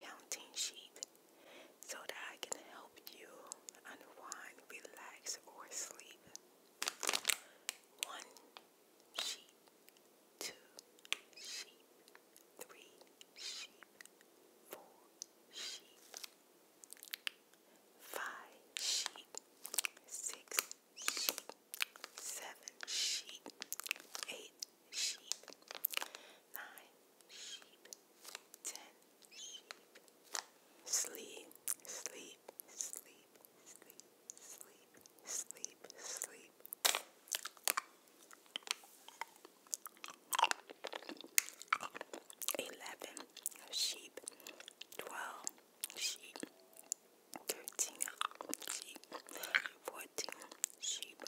counting sheep so that I can help you unwind, relax, or sleep. One sheep, two sheep, three sheep, four sheep, five sheep, six sheep, seven sheep, eight sheep, nine Sleep, sleep, sleep, sleep, sleep, sleep, sleep. Eleven sheep, twelve sheep, thirteen sheep. 14 sheep,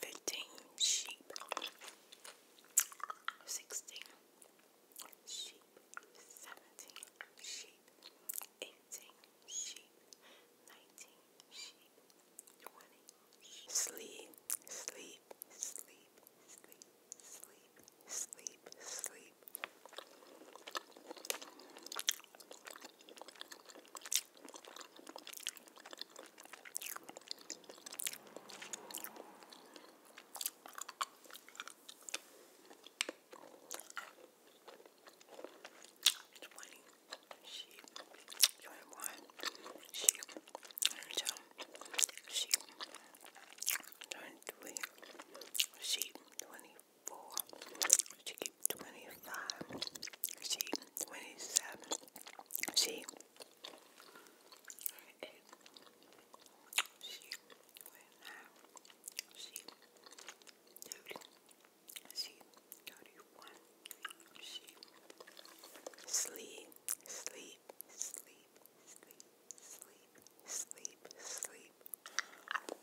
15 sheep, 16 sheep, 17 sheep, 18 sheep, 19 sheep, 20 sheep. Sleep, sleep, sleep, sleep, sleep, sleep, sleep. Twenty sheep, twenty one sheep, twenty two sheep, twenty three sheep, twenty four. She twenty-five. She twenty-seven. She eight. She twenty-nine. She thirty. She sleep, sleep, sleep, sleep, sleep, sleep, sleep.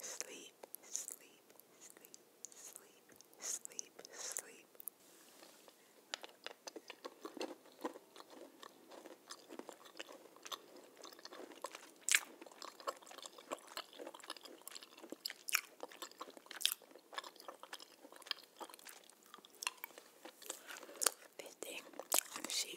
sleep, sleep, sleep, sleep, sleep, sleep. This thing, she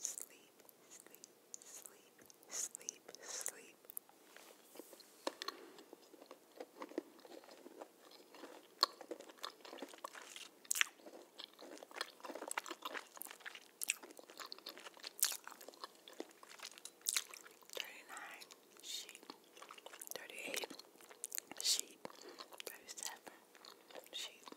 sleep, sleep, sleep, sleep, sleep. Thirty-nine sheep, thirty-eight sheep, thirty-seven sheep.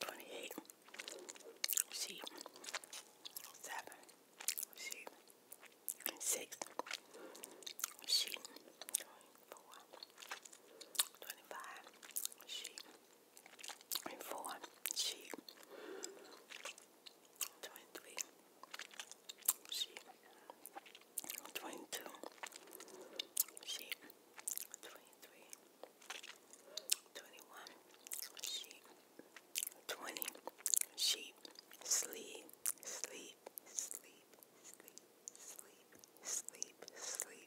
Twenty-eight. See seven. See six. See twenty-four. Twenty-five. See and four sheep, twenty-three sheep, twenty-two sheep, twenty-three, twenty-one sheep, twenty sheep. Sleep, sleep, sleep, sleep, sleep, sleep, sleep.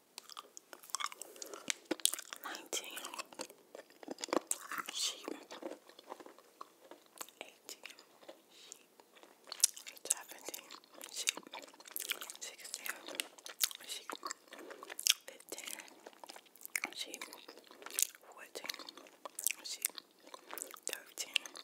nineteen, sheep, eighteen, sheep, seventeen, sheep, sixteen, sheep, fifteen, sheep, fourteen, sheep, thirteen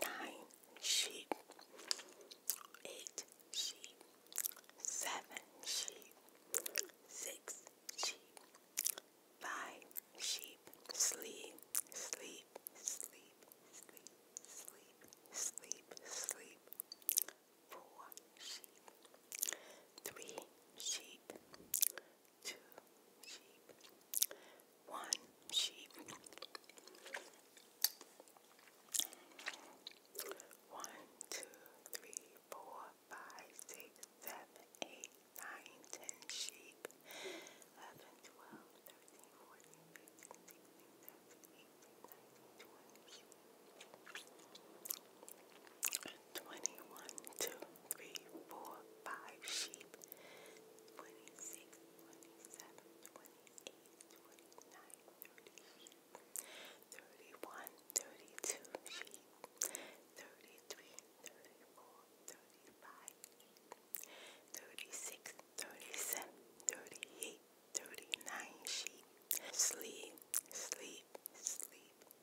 Nine sheep, eight sheep, seven sheep, six sheep, five sheep, sleep, sleep, sleep, sleep, sleep, sleep, sleep, four sheep, three sheep, two sheep, one sheep, one, two, three, four, five, six, seven, eight, nine, ten sheep, eleven, twelve, thirteen, fourteen, fifteen, sixteen, seventeen. Twenty-one, two, three, four, five sheep. Twenty-six, twenty-seven, twenty-eight, twenty-nine, thirty sheep. Thirty-one, thirty-two sheep. Thirty-three, thirty-four, thirty-five. Thirty-six, thirty-seven, thirty-eight, 39 sheep. Sleep, sleep, sleep,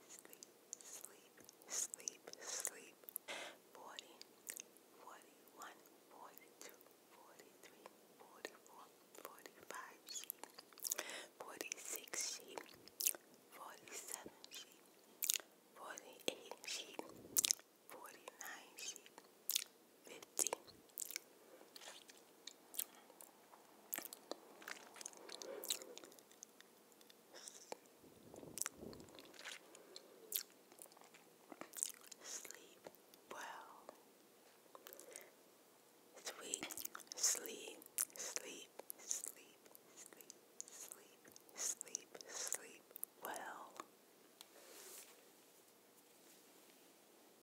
sleep, sleep, sleep, sleep. 40, 41, 42, 43, 44, 45 sheep. 46 sheep. 47 sheep. 48 sheep. 49 sheep. 50. Sleep well. Sweet sleep, sleep, sleep, sleep, sleep, sleep, sleep well.